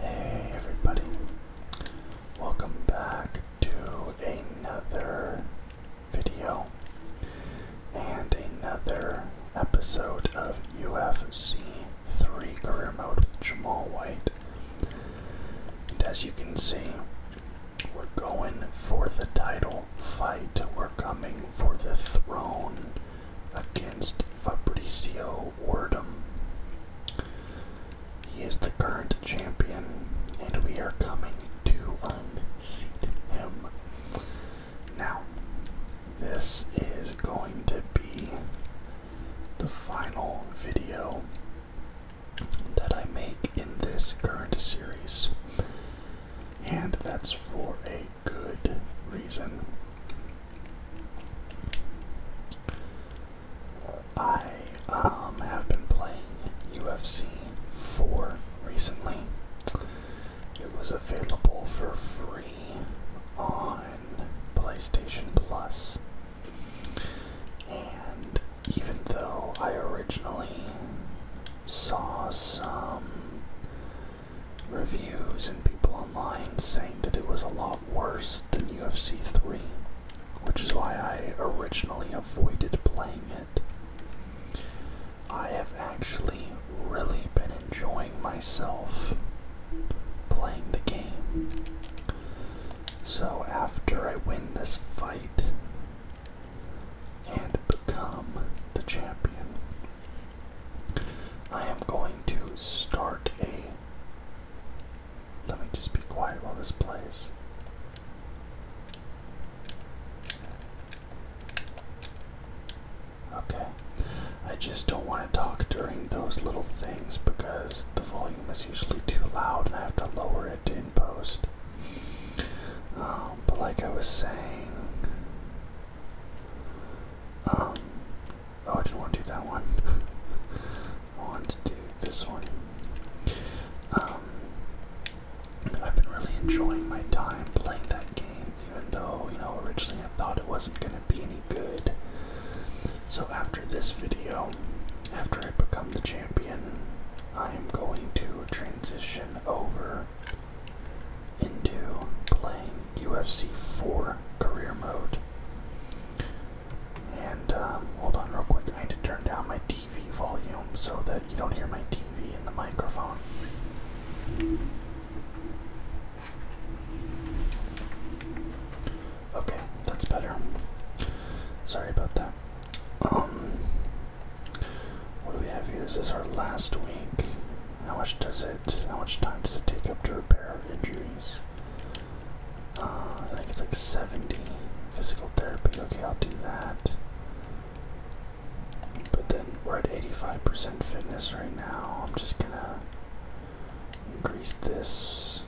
Hey everybody, welcome back to another video and another episode of UFC 3 Career Mode with Jamal White. And as you can see, we're going for the title fight, we're coming for the throne against Fabrizio Wordham. He is the current champion, and we are coming to unseat him. Now, this is going to be the final video that I make in this current series, and that's for a good reason. I um, have been playing UFC 4 recently. It was available for free on PlayStation And even though I originally saw some reviews and people online saying that it was a lot worse than UFC 3, which is why I originally avoided playing it. I have actually really been enjoying myself playing the game. So after I win this fight and become the champion, I am going to start a let me just be quiet while this plays. Okay. I just don't want to talk during those little things because the volume is usually too loud and I have to lower it in post. Um, but like I was saying, um, Oh, I didn't want to do that one. I want to do this one. Um, I've been really enjoying my time playing that game, even though, you know, originally I thought it wasn't going to be any good. So after this video, after I become the champion, I am going to transition over into playing UFC 4 career mode. And um, hold on real quick, I need to turn down my TV volume so that you don't hear my TV in the microphone. Okay, that's better. Sorry about that. Um, what do we have here? Is this our last week? How much does it? How much time does it take up to repair injuries? Uh, I think it's like 70 physical therapy. Okay, I'll do that. But then we're at 85% fitness right now. I'm just gonna increase this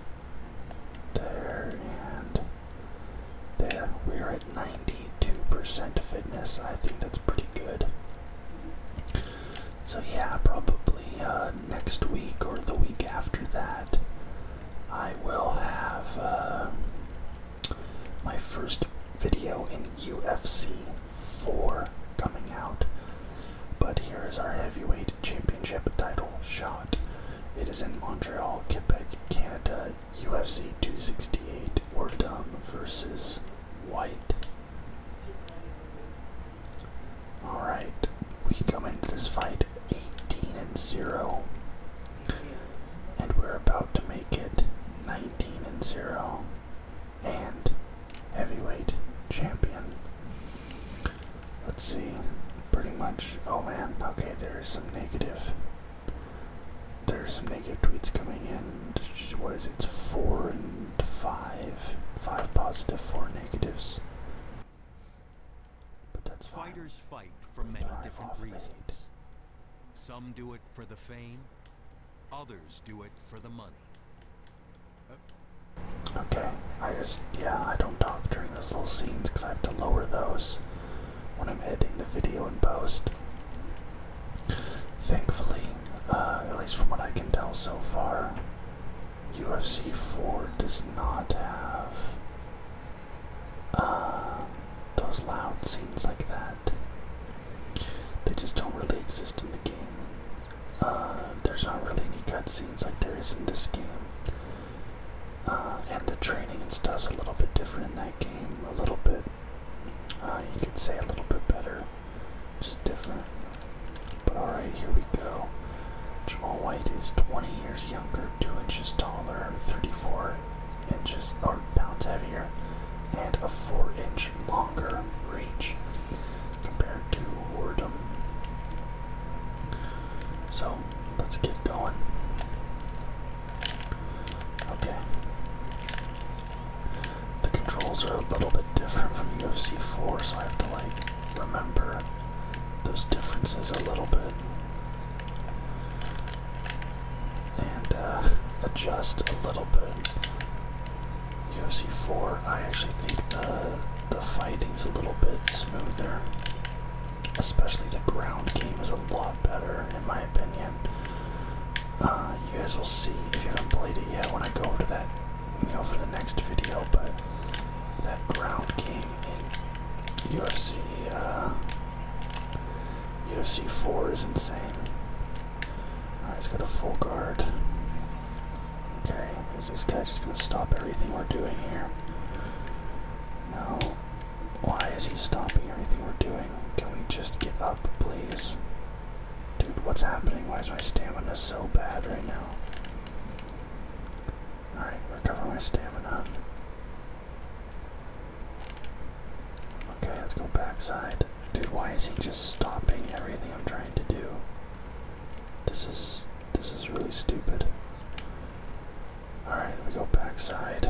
there and there. We're at 92% fitness. I think that's pretty good. So yeah, probably uh, next week or the week after that, I will have uh, my first video in UFC 4 coming out. But here is our heavyweight championship title shot. It is in Montreal, Quebec, Canada, UFC 268, Wordum versus White. All right, we come into this fight 18 and 0, and we're about to make it 19 and 0, and heavyweight champion. Let's see, pretty much. Oh man, okay, there's some negative. There's some negative tweets coming in. What is it? It's four five. Five positive, four negatives. But that's Fighters fight for many different reasons. Some do it for the fame, others do it for the money. okay, I just, yeah, I don't talk during those little scenes because I have to lower those when I'm editing the video and post. Thankfully, uh, at least from what I can tell so far, UFC 4 does not have uh, those loud scenes like that. They just don't really exist in the game. Uh, there's not really any cutscenes like there is in this game. Uh, and the training and stuff's a little bit different in that game, a little bit, you could say a little bit better. Just different. But alright, here we go. Jamal White is 20 years younger, 2 inches taller, 34 inches or pounds heavier, and a 4 inch longer reach compared to Wardum. So let's get going. Okay. The controls are a little bit different from UFC 4, so I have to like remember those differences a little bit and uh, adjust a little bit. UFC 4, I actually think the the fighting's a little bit smoother. Especially the ground game is a lot better, in my opinion. Uh, you guys will see if you haven't played it yet when I go into that you know, for the next video, but that ground game in UFC, uh, UFC 4 is insane. Alright, let's go to full guard. Okay, is this guy just gonna stop everything we're doing here? No. Why is he stopping everything we're doing? Can we just get up, please? Dude, what's happening? Why is my stamina so bad right now? Alright, recover my stamina. Okay, let's go backside. Dude, why is he just stopping everything I'm trying to do? This is this is really stupid. Alright, we go backside.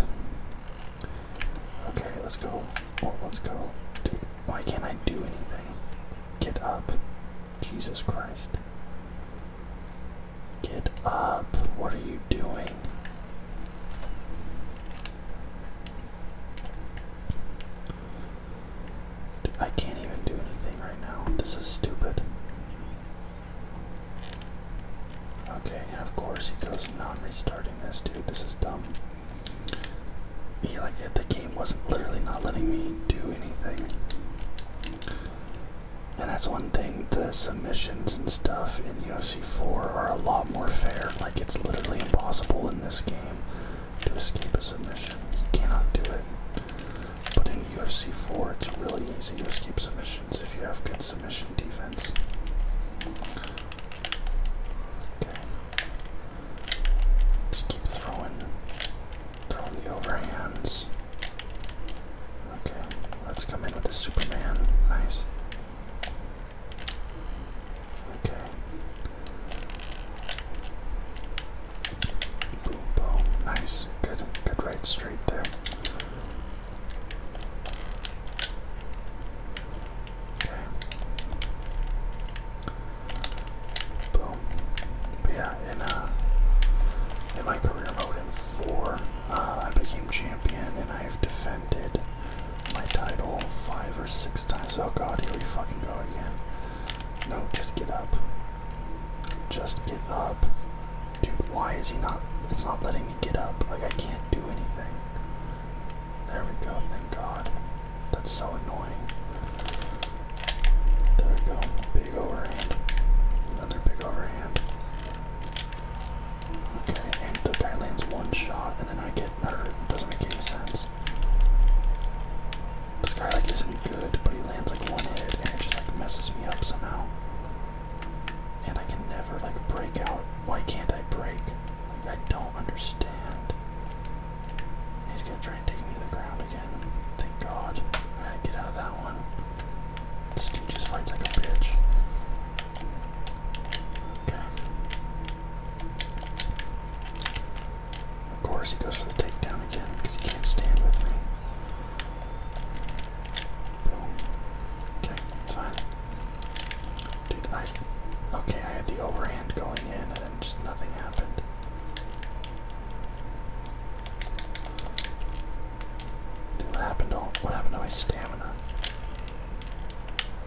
Okay, let's go. Oh, let's go. Dude, why can't I do anything? Get up. Jesus Christ. Get up. What are you doing? I can't even do anything right now. This is stupid. Okay, of course he goes non restarting this, dude. This is dumb like if the game wasn't literally not letting me do anything. And that's one thing, the submissions and stuff in UFC 4 are a lot more fair. Like it's literally impossible in this game to escape a submission. You cannot do it. But in UFC 4 it's really easy to escape submissions if you have good submission defense. Just keep throwing, throwing the overhands. Okay, let's come in with the Superman. Nice. Okay. Boom, Nice. Good, good right straight there. Boom. But yeah, in uh, in my career mode in four, uh, I became champion, and I've defended my title five or six times. Oh god, here we fucking go again. No, just get up. Just get up. Dude, why is he not? It's not letting me get up. Like, I can't do anything. There we go, thank god. That's so annoying. There we go. Big overhand. Another big overhand. Okay, and the guy lands one shot and then I get hurt. Doesn't make any sense. This guy like isn't good, but he lands like one hit and it just like messes me up somehow. And I can never like break out. Why can't I break? I don't understand. He's gonna try and take me to the ground again. Thank God. Alright, get out of that one. This just fights like a bitch. Okay. Of course he goes for the takedown again because he can't stand with me. Boom. Okay, fine. Dude, I okay, I had the overhand going in just nothing happened. what happened to what happened to my stamina?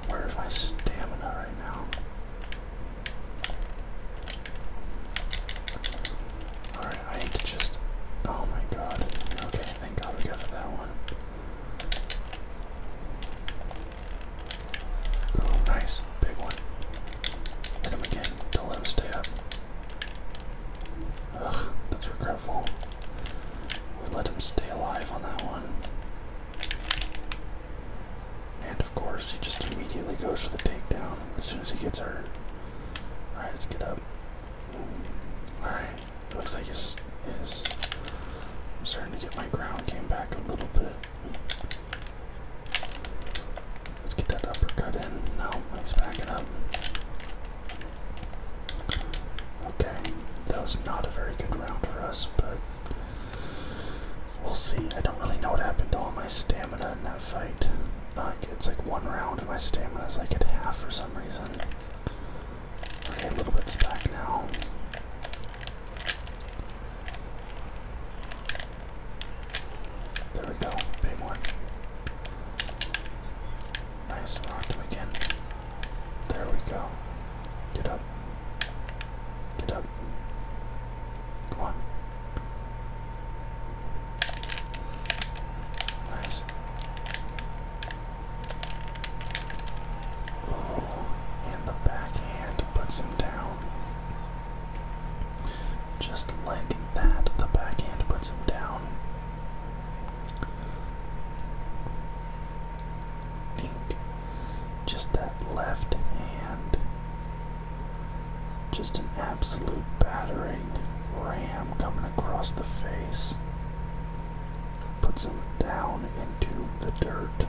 Where is my stamina right now? Alright, I need to just oh my god. Okay, thank god we got that one. Oh, nice. Big one. Hit him again. Don't let him stay up. Ugh, that's regretful. We let him stay alive on that one. And of course, he just immediately goes for the takedown as soon as he gets hurt. Alright, let's get up. Alright, looks like he's starting to get my ground game back a little bit. Let's get that uppercut in. No, let's back it up. Okay, that was not a very good round for us, but we'll see. I don't really know what happened to all my stamina in that fight. Uh, it's like one round my stamina is like at half for some reason. Okay, a little bit's back now. There we go, big one. Nice, rock him again. There we go. Get up. Get up. Come on. Nice. Oh, and the backhand puts him down. Just like that, the backhand puts him down. Dink. Just that left hand. Just an absolute battering ram coming across the face. Puts him down into the dirt.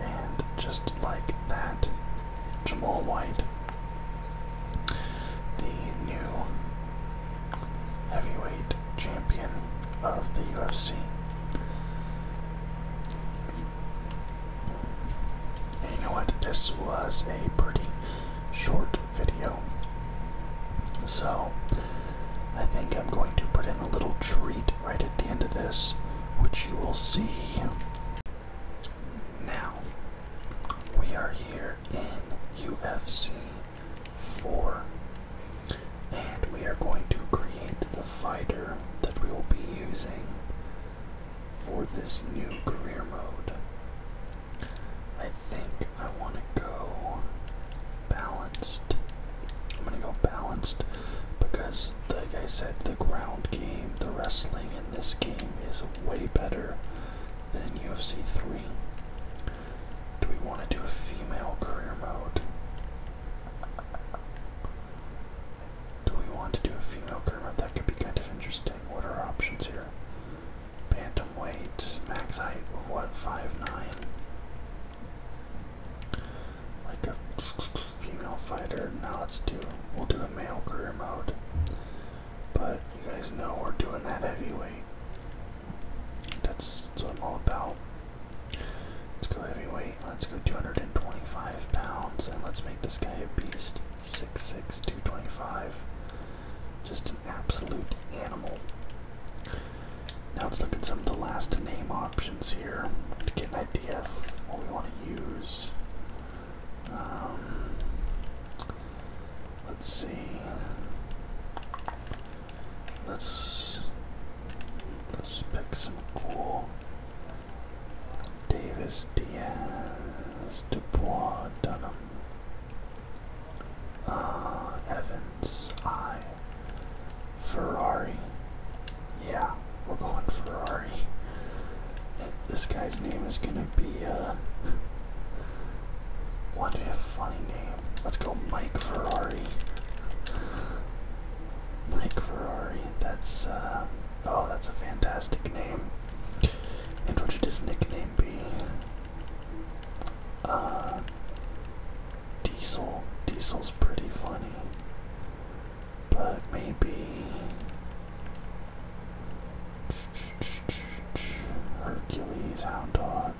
And just like that, Jamal White, the new heavyweight champion of the UFC. you know what? This was a pretty short video. So, I think I'm going to put in a little treat right at the end of this, which you will see. Now, we are here in UFC 4, and we are going to create the fighter that we will be using for this new career mode. I think I want to go balanced. I'm going to go balanced because, like I said, the ground game, the wrestling in this game is way better than UFC 3. Do we want to do a female career mode? Do we want to do a female career mode? That could be kind of interesting. What are our options here? weight, max height of what, 5'9? Like a female fighter. Now let's do, we'll do a male career mode. But you guys know we're doing that heavyweight. That's, that's what I'm all about. Let's go heavyweight. Let's go 225 pounds and let's make this guy a beast. Six six, two twenty five. Just an absolute animal. Now let's look at some of the last name options here to get an idea of what we want to use. Um, let's see. Let's let's pick some cool Davis, Diaz, Dubois, Dunham. Uh, Evans, I. Ferrari. Yeah, we're going Ferrari. this guy's name is gonna be, uh. Why a funny name? Let's go Mike Ferrari. Mike Ferrari, that's, uh, Oh, that's a fantastic name. And what should his nickname be? Uh, diesel. Diesel's pretty funny. But maybe. Hercules, Hound Dog,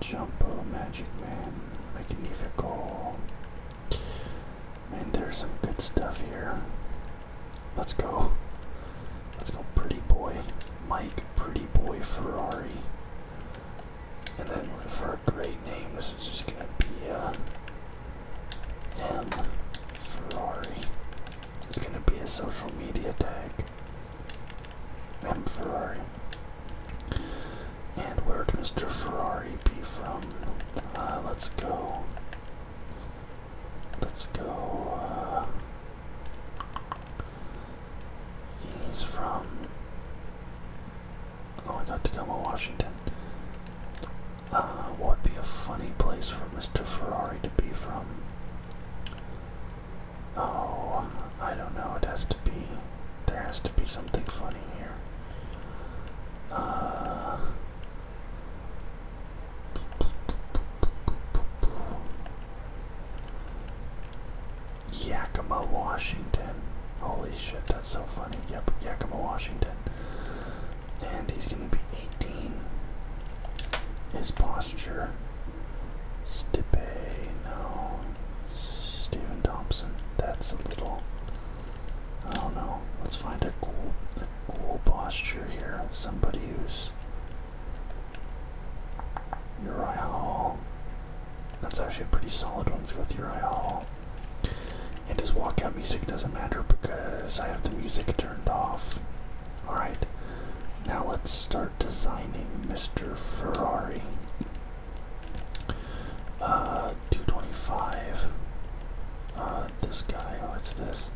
Jumbo, Magic Man, Magnifico. I mean, there's some good stuff here. Let's go. Let's go, pretty boy. Mike, pretty boy Ferrari. And then for a great name, this is just gonna be uh, Ferrari. It's gonna be a social media tag. M Ferrari. And where'd Mr. Ferrari be from? Uh, let's go. Let's go. Uh, He's from, oh I got Tacoma, Washington. Uh, what would be a funny place for Mr. Ferrari to be from? Oh, um, I don't know. It has to be. There has to be something funny here. Uh, Yakima, Washington. Holy shit, that's so funny. Yep, Yakima, Washington. And he's going to be 18. His posture. Stipe, no. Stephen Thompson. That's a little. I don't know. Let's find a cool, a cool posture here. Somebody who's Uriah Hall. That's actually a pretty solid one. Let's go with Uriah Hall. And his walkout music doesn't matter because I have the music turned off. Alright, now let's start designing Mr. Ferrari. Uh, 225. Uh, this guy, what's oh, this?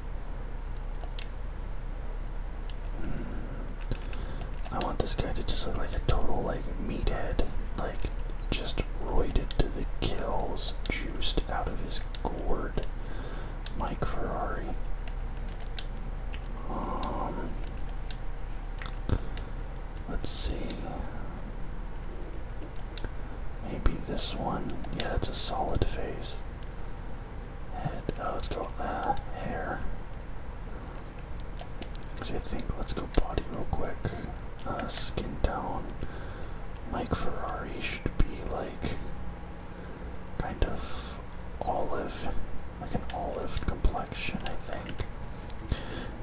I want this guy to just look like a total like meathead, like just roided to the kills, juiced out of his gourd. Mike Ferrari. Um, let's see. Maybe this one. Yeah, it's a solid face. And uh, let's go uh, hair. Actually, I think let's go body real quick. Uh, skin tone. Mike Ferrari should be like kind of olive, like an olive complexion, I think.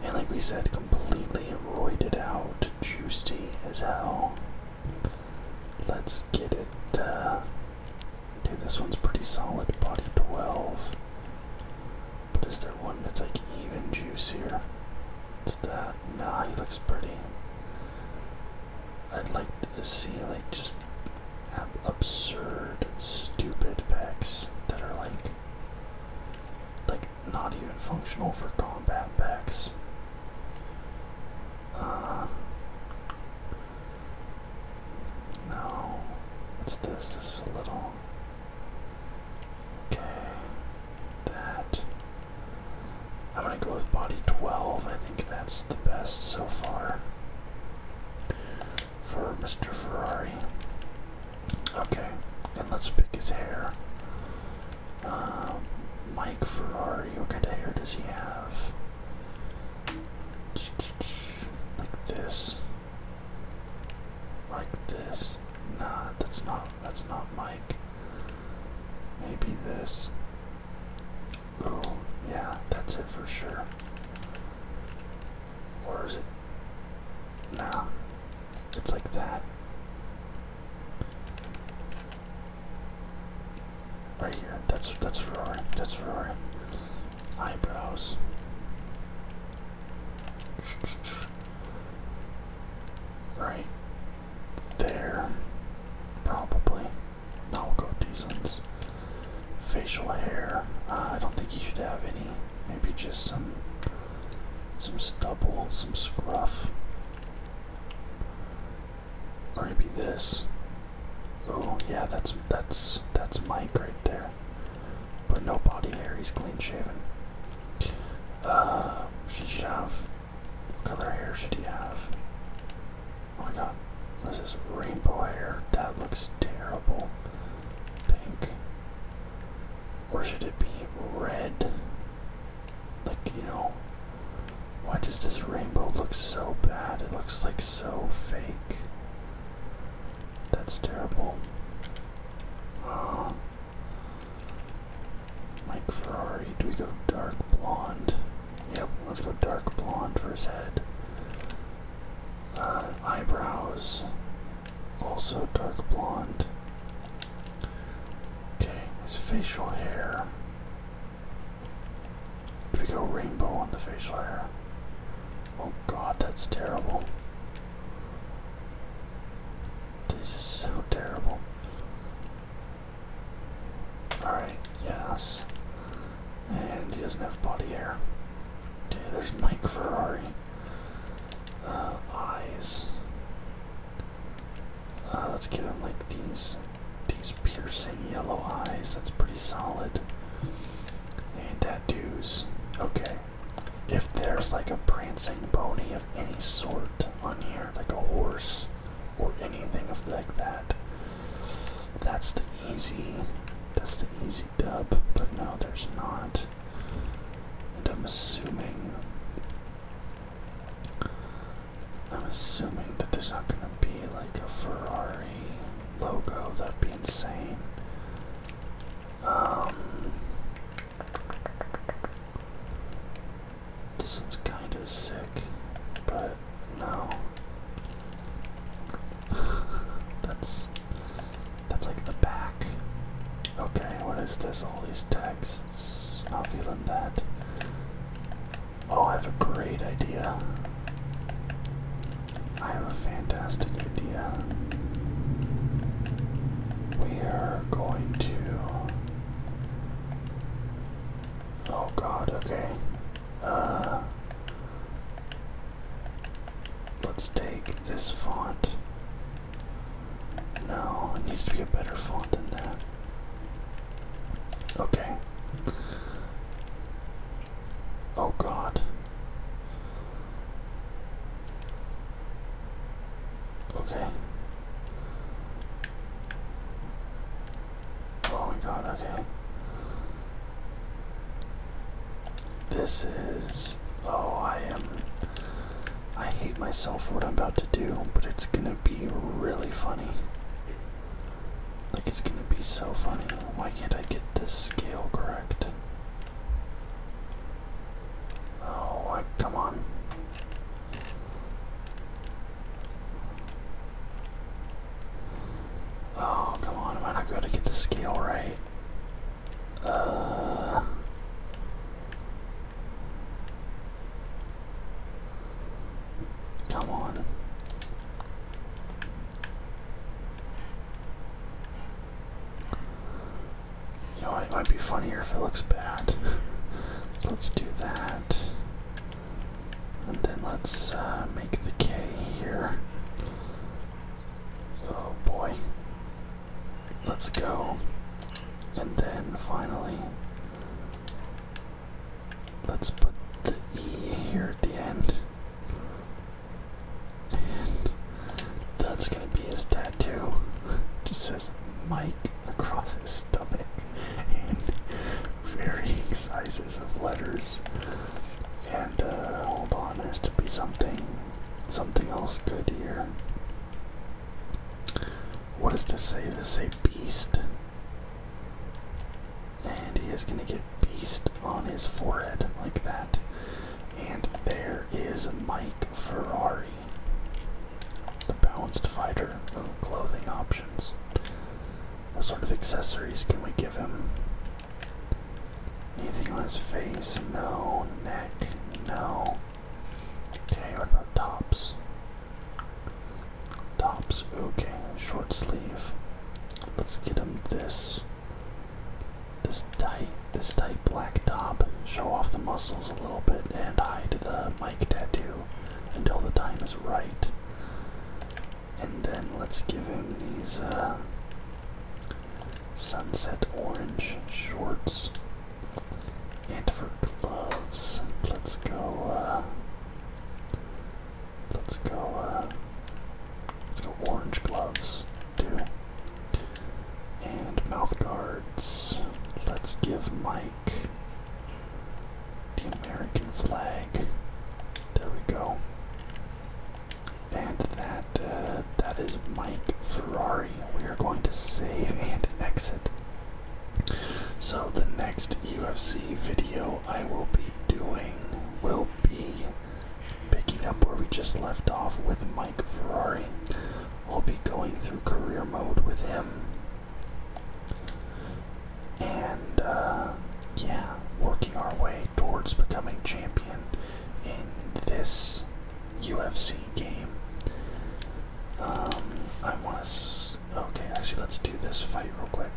And like we said, completely roided out, juicy as hell. Let's get it. Uh, okay, this one's pretty solid. Body 12. But is there one that's like even juicier? It's that. Nah, he looks pretty. I'd like to see like just absurd, stupid packs that are like, like not even functional for combat packs. Uh, no. What's this? This a little. Okay. That. I'm gonna go with body 12. I think that's the best so far for Mr. Ferrari. Okay. And let's pick his hair. Uh, Mike Ferrari, what kind of hair does he have? Like this. Like this. Nah, that's not that's not Mike. Maybe this. Oh, yeah, that's it for sure. Or is it? Nah. It's like that. Right here. That's that's Ferrari. That's Ferrari. Eyebrows. Right there. Probably. Now we'll go these ones. Facial hair. Uh, I don't think he should have any. Maybe just some some stubble, some scruff. Or be this. Oh yeah, that's that's that's Mike right there. But no body hair, he's clean shaven. Uh she should have what color hair should he have? Oh my god. This is rainbow hair. That looks terrible. Pink. Or should it be red? Like, you know, why does this rainbow look so bad? It looks like so fake. That's terrible. Oh. Mike Ferrari, do we go dark blonde? Yep, let's go dark blonde for his head. Uh, eyebrows, also dark blonde. Okay, his facial hair. We go rainbow on the facial hair. Oh god, that's terrible. This is so terrible. Alright, yes. And he doesn't have body hair. Okay, there's Mike Ferrari. Uh, eyes. Uh, let's give him like these these piercing yellow eyes. That's pretty solid. And tattoos. Okay. If there's like a prancing pony of any sort on here, like a horse or anything of like that, that's the easy that's the easy dub, but no there's not. And I'm assuming I'm assuming that there's not gonna be like a Ferrari logo. That'd be insane. Um, this one's kind of sick, but no. that's that's like the back. Okay, what is this? All these texts. not feeling that. Oh, I have a great idea. I have a fantastic idea. We are going to. Oh god, okay. Uh. Let's take this font. No, it needs to be a better font than that. Okay. Oh God. Okay. Oh my God. Okay. This is. Oh, I am. I hate myself for what I'm about to do, but it's gonna be really funny. Like it's gonna be so funny. Why can't I get this scale correct? Oh, come on. Oh, come on, am I not going to get the scale right? Uh... Come on. You know, it might be funnier if it looks bad. let's do that. And then let's uh, make the K here. Oh boy. Let's go. And then finally, let's put the E here at the end. And that's gonna be his tattoo. Just says Mike across his stomach and varying sizes of letters. And uh, hold on, there's to be something, something else good here. What is to say? This say beast. And he is gonna get beast on his forehead like that. And there is Mike Ferrari. The balanced fighter. clothing options. What sort of accessories can we give him? Anything on his face? No. Neck? No. Okay, what about tops? Tops, okay, short sleeve. Let's get him this. This tight, this tight black top. Show off the muscles a little bit and hide the mic tattoo until the time is right. And then let's give him these uh, sunset orange shorts. And for gloves, let's go. Uh, Let's go, uh, let's go orange gloves, too. And mouth guards. Let's give Mike the American flag. There we go. And that, uh, that is Mike Ferrari. We are going to save and exit. So, the next UFC video I will be doing will be picking up where we just left off with Mike Ferrari. I'll be going through career mode with him. And, uh, yeah, working our way towards becoming champion in this UFC game. Um, I want to Okay, actually, let's do this fight real quick.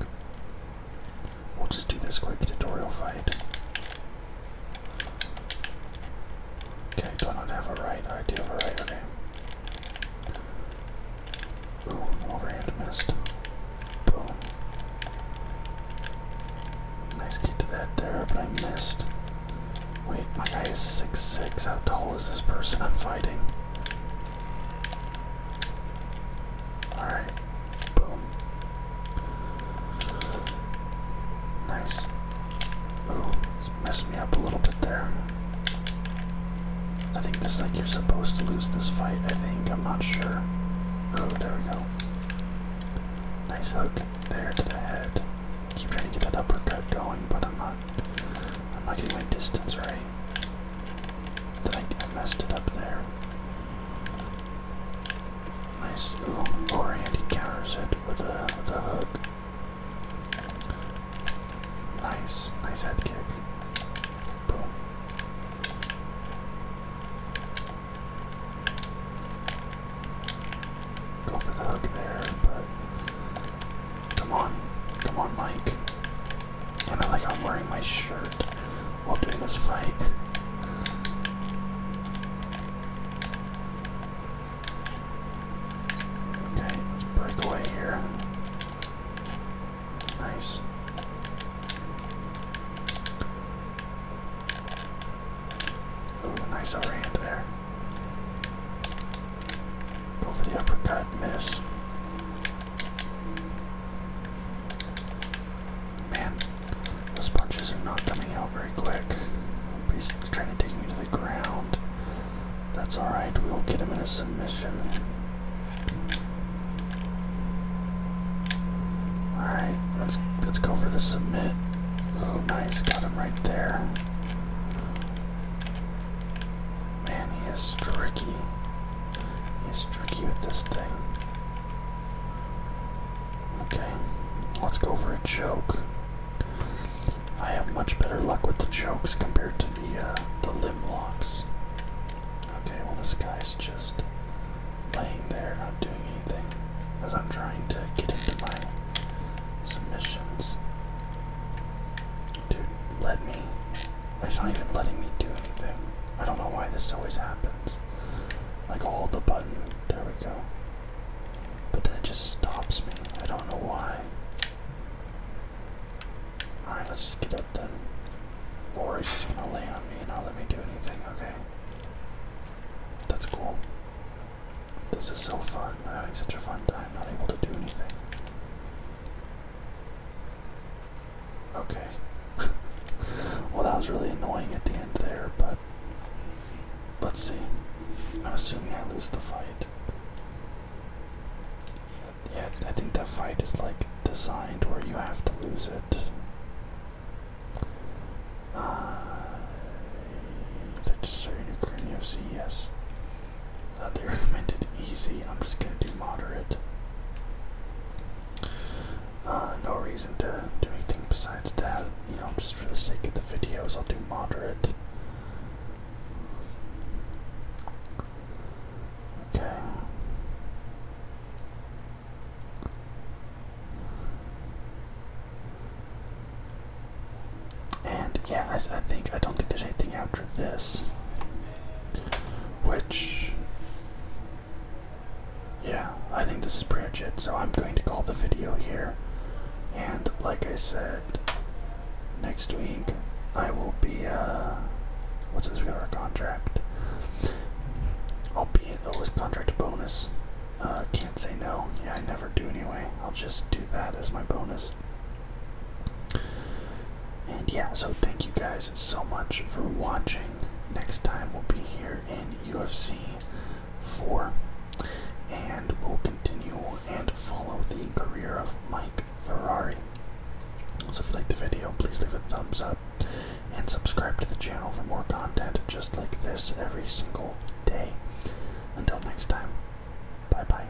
We'll just do this quick tutorial fight. Okay, do not have a right? I do have a right, Ooh, overhand missed. Boom. Nice kick to that there, but I missed. Wait, my guy is six six. How tall is this person I'm fighting? Alright. Boom. Nice. Oh, it's messed me up a little bit there. I think this like you're supposed to lose this fight, I think. I'm not sure. Oh, there we go. Nice hook there to the head. Keep trying to get that uppercut going, but I'm not I'm not getting my distance right. I, I messed it up there. Nice. Ooh, or Andy counters it with a with a hook. Nice, nice head kick. Boom. Go for the hook there, but Come on. Come on, Mike. And I like I'm wearing my shirt while doing this fight. Okay, let's break away here. Nice. Ooh, nice overhand there. Go for the uppercut, miss. Man, those punches are not coming out very quick. He's trying to take me to the ground. That's alright, we will get him in a submission. Alright, let's let's go for the submit. Oh nice, got him right there. Man, he is tricky. He's tricky with this thing. Okay, let's go for a choke. I have much better luck with the chokes compared to the uh, the limb locks. Okay, well this guy's just laying there, not doing anything, as I'm trying to get into my submissions. Dude, let me it's not even letting me do anything. I don't know why this always happens. Like I'll hold the button, there we go. But then it just stops me. I don't know why. Alright, let's just get up then. Or he's just gonna lay on me and not let me do anything, okay? That's cool. This is so fun. I'm having such a fun time, not able to do anything. Okay. well, that was really annoying at the end there, but let's see. I'm assuming I lose the fight. Yeah, I think that fight is like designed where you have to lose it. Uh, that's certain Ukrainian FC, yes. Uh, they recommended easy. I'm just gonna do moderate. Uh, no reason to do anything besides that. You know, just for the sake of the videos, I'll do moderate. Okay. And yeah, I think I don't think there's anything after this. Which, yeah, I think this is pretty much it. So I'm going to call the video here. And like I said, next week I will be, uh, what's this, we got our contract. I'll be at oh, the contract bonus. Uh, can't say no. Yeah, I never do anyway. I'll just do that as my bonus. And yeah, so thank you guys so much for watching. Next time we'll be here in UFC 4. And we'll continue and follow the career of Mike Ferrari. So if you liked the video, please leave a thumbs up and subscribe to the channel for more content just like this every single day. Until next time, bye bye.